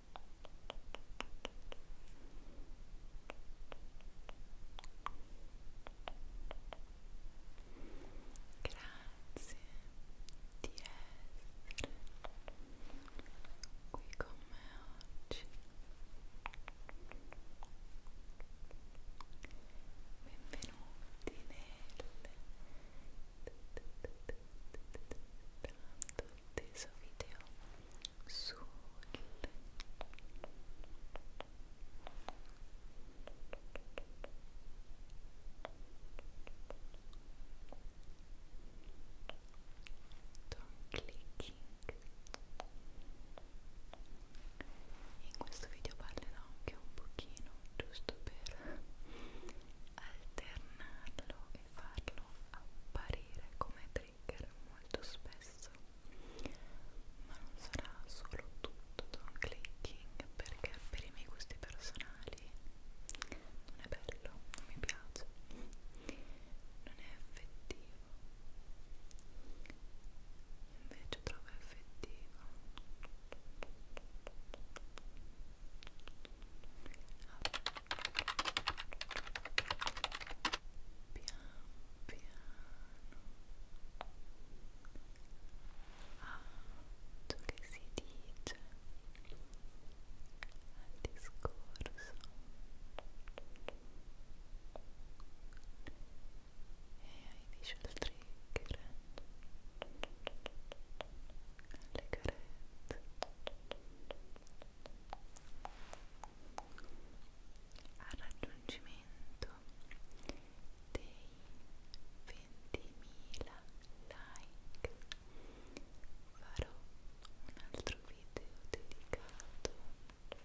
Grazie di essere qui con me oggi. Benvenuti nel tante tutti i suoi video sul Don't clicking in questo video parlerò anche un pochino giusto per alternarlo e farlo apparire come trigger molto spesso ma non sarà solo tutto don clicking perché per i miei gusti personali non è bello, non mi piace non è effettivo invece trovo effettivo altro che si dice al discorso e hai dice il trigger le carezze al raggiungimento dei 20.000 like farò un altro video dedicato dedicato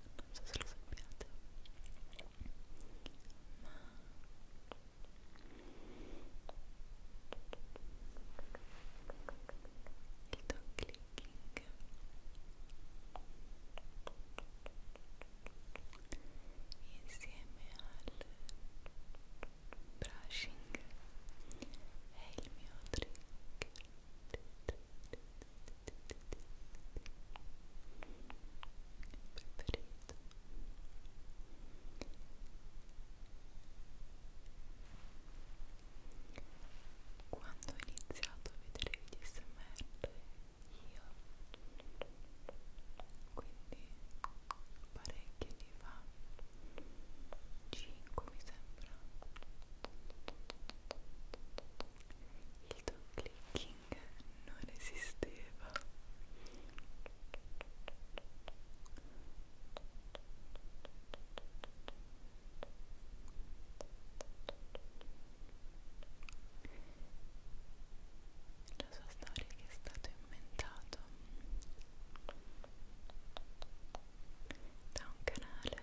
non so se lo sappiate ma il dog clicking insieme al brushing è il mio trick preferito quando ho iniziato a vedere i video smr io quindi parecchi anni fa 5 mi sembra l'auto clicking non esisteva la sua storia che è stato inventato da un canale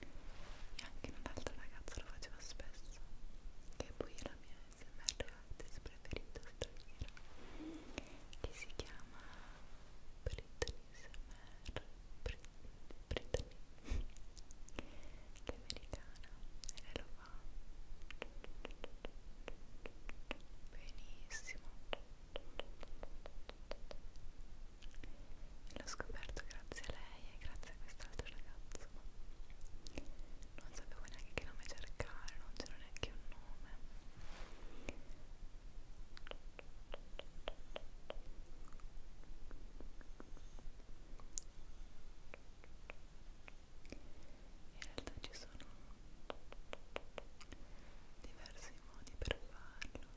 e anche un'altra ragazza lo faceva spesso che poi è la mia smr artist preferita straniera che si chiama Britney smr Britney che è americana e lei lo fa benissimo e l'ho scoperto grazie a lei e grazie a quest'altro ragazzo non sapevo neanche che nome cercare non c'era neanche un nome in realtà ci sono diversi modi per farlo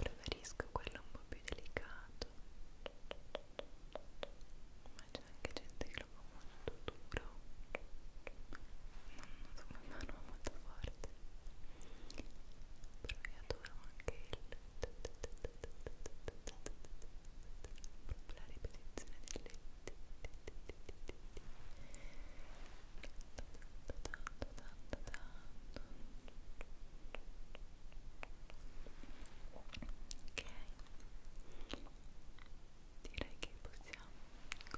preferisco quello un po' più delicato ma c'è anche gente che lo fa molto duro non so come fanno molto forte però io adoro anche il la ripetizione delle tanto tanto tanto ok direi che possiamo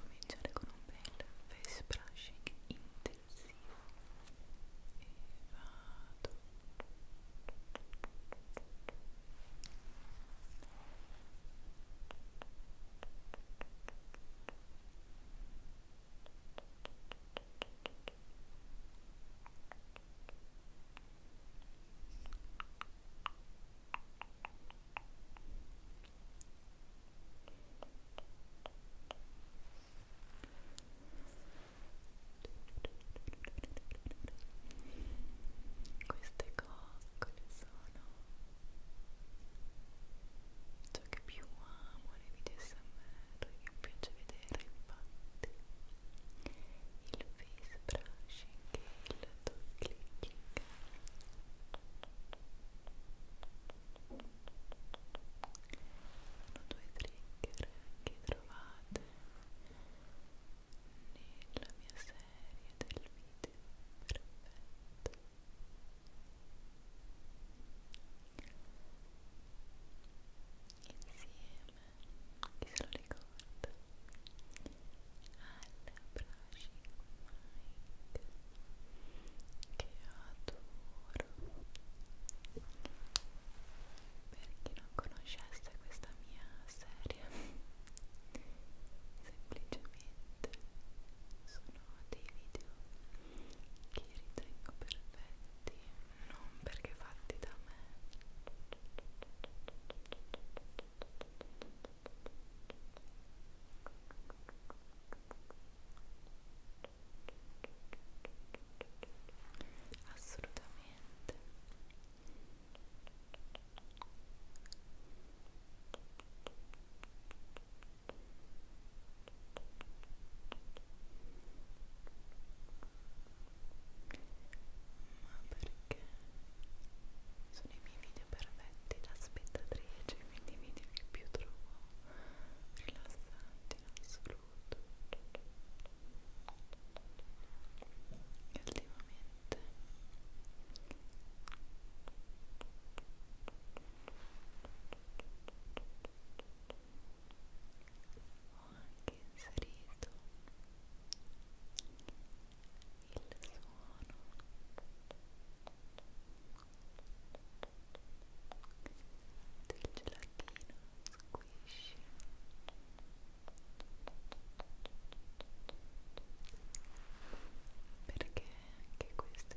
cominciare con un bel face brushing intensivo e vado ok queste coccole sono oggetto cioè, che più amo nei video smr che mi piace vedere infatti il face brushing e il toe clicking sono due trigger che trovate nella mia serie del video perfetto chi se lo ricorda al brushing mic che adoro per chi non conoscesse questa mia serie semplicemente sono dei video che ritengo perfetti non perché fatti da me assolutamente ma perché sono i miei video perfetti da spettatrice, quindi i video che più trovo rilassanti in assoluto. E ultimamente ho anche inserito il suono del gelatino squishy perché anche questo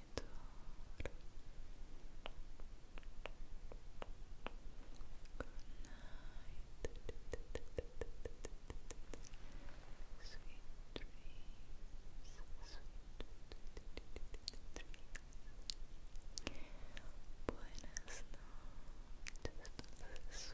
monitor good night sweet dreams buenas noches sueños noches